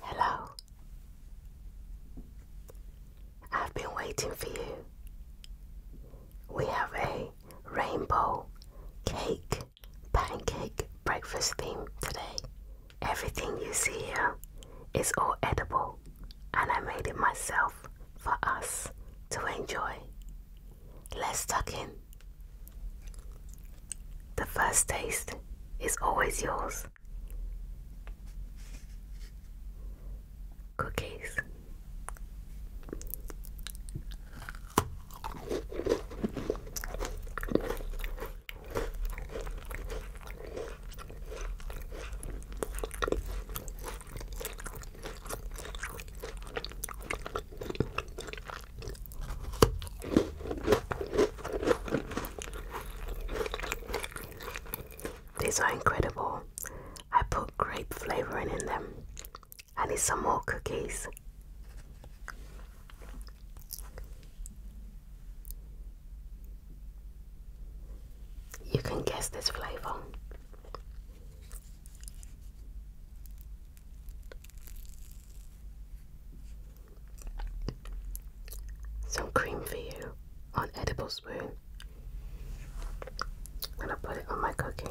Hello. I've been waiting for you. We have a rainbow cake pancake breakfast theme today. Everything you see here is all edible and I made it myself for us to enjoy. Let's tuck in. The first taste is always yours. Cookies. These are incredible. I put grape flavoring in them. I need some more cookies. You can guess this flavour. Some cream for you on edible spoon. I'm gonna put it on my cookie.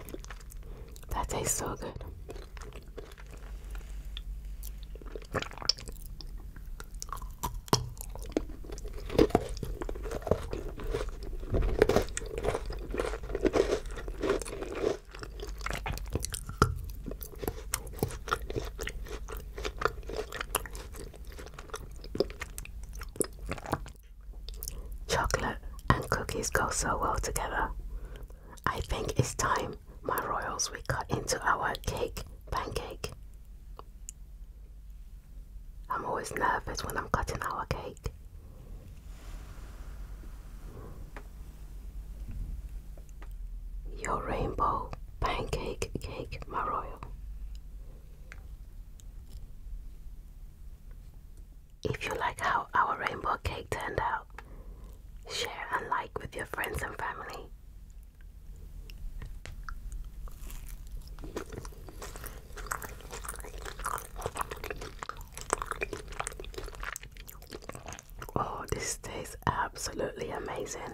That tastes so good. Chocolate and cookies go so well together. I think it's time, my royals, we cut into our cake pancake. I'm always nervous when I'm cutting our cake. Your rainbow pancake cake, my royal. If you like how our rainbow cake turned out, share and like with your friends and family. Oh, this tastes absolutely amazing.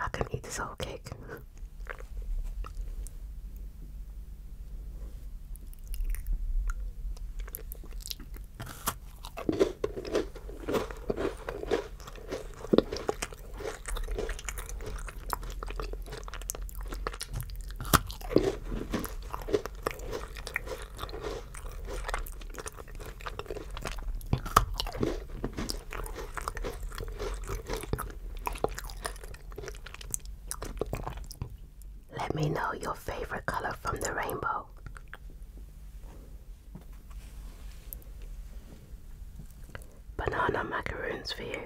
I can eat this whole cake. Let me know your favorite color from the rainbow. Banana macaroons for you.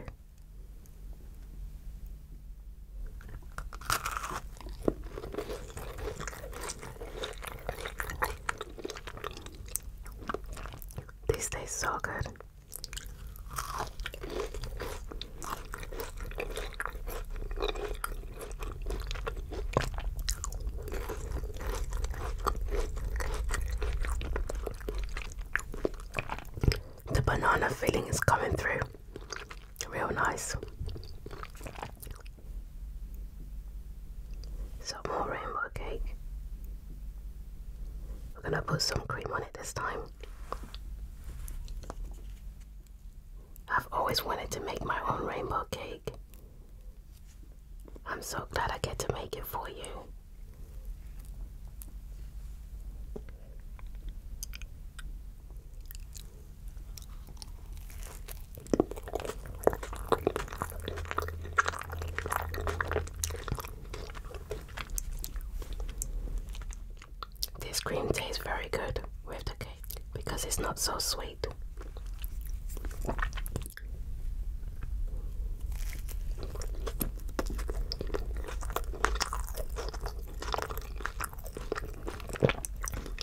These taste so good. The banana filling is coming through. Real nice. Some more rainbow cake. We're gonna put some cream on it this time. I've always wanted to make my own rainbow cake. I'm so glad I get to make it for you. This cream tastes very good with the cake because it's not so sweet.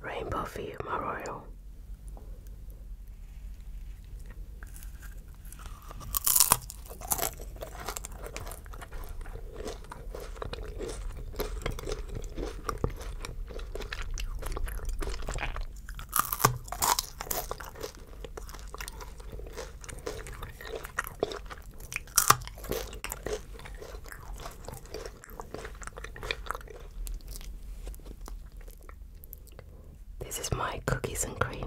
Rainbow View Memorial. This is my cookies and cream.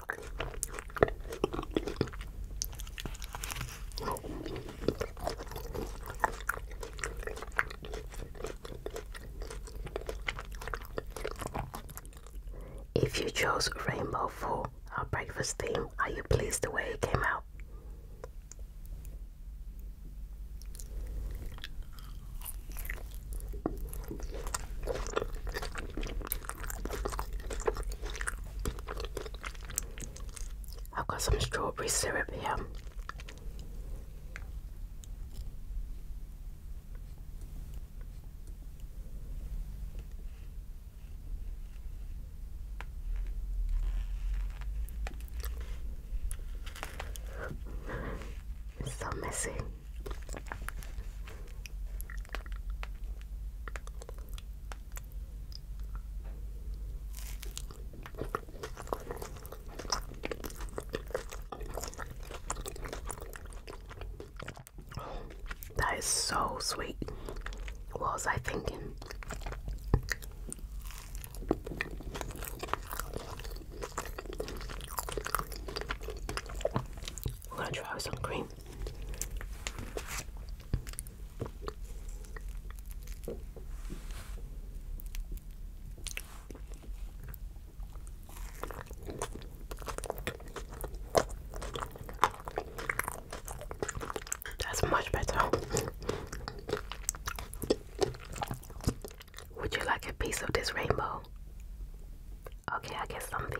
If you chose Rainbow for our breakfast theme, are you pleased the way it came out? I've got some strawberry syrup here. so messy. That is so sweet. What was I thinking? I'm gonna try some cream. That's much better. Would you like a piece of this rainbow? Okay, I guess something.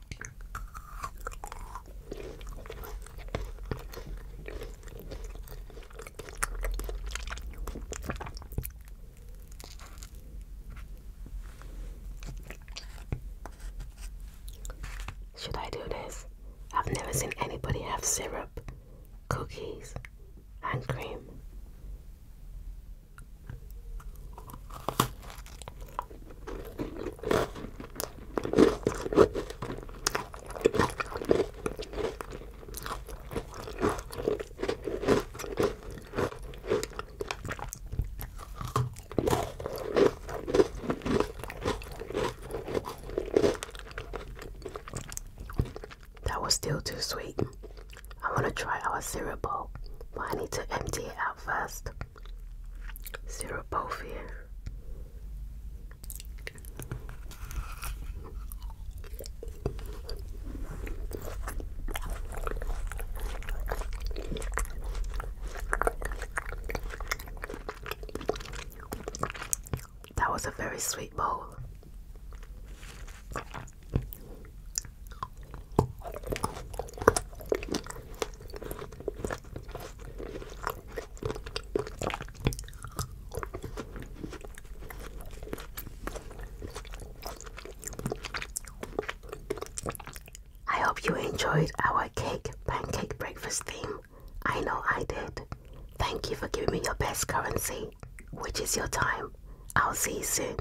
Should I do this? I've never seen anybody have syrup, cookies, and cream. That was still too sweet. I want to try our cereal bowl, but I need to empty it out first. Xeropophia. That was a very sweet bowl. I hope you enjoyed our cake pancake breakfast theme. I know I did. Thank you for giving me your best currency, which is your time. I'll see you soon.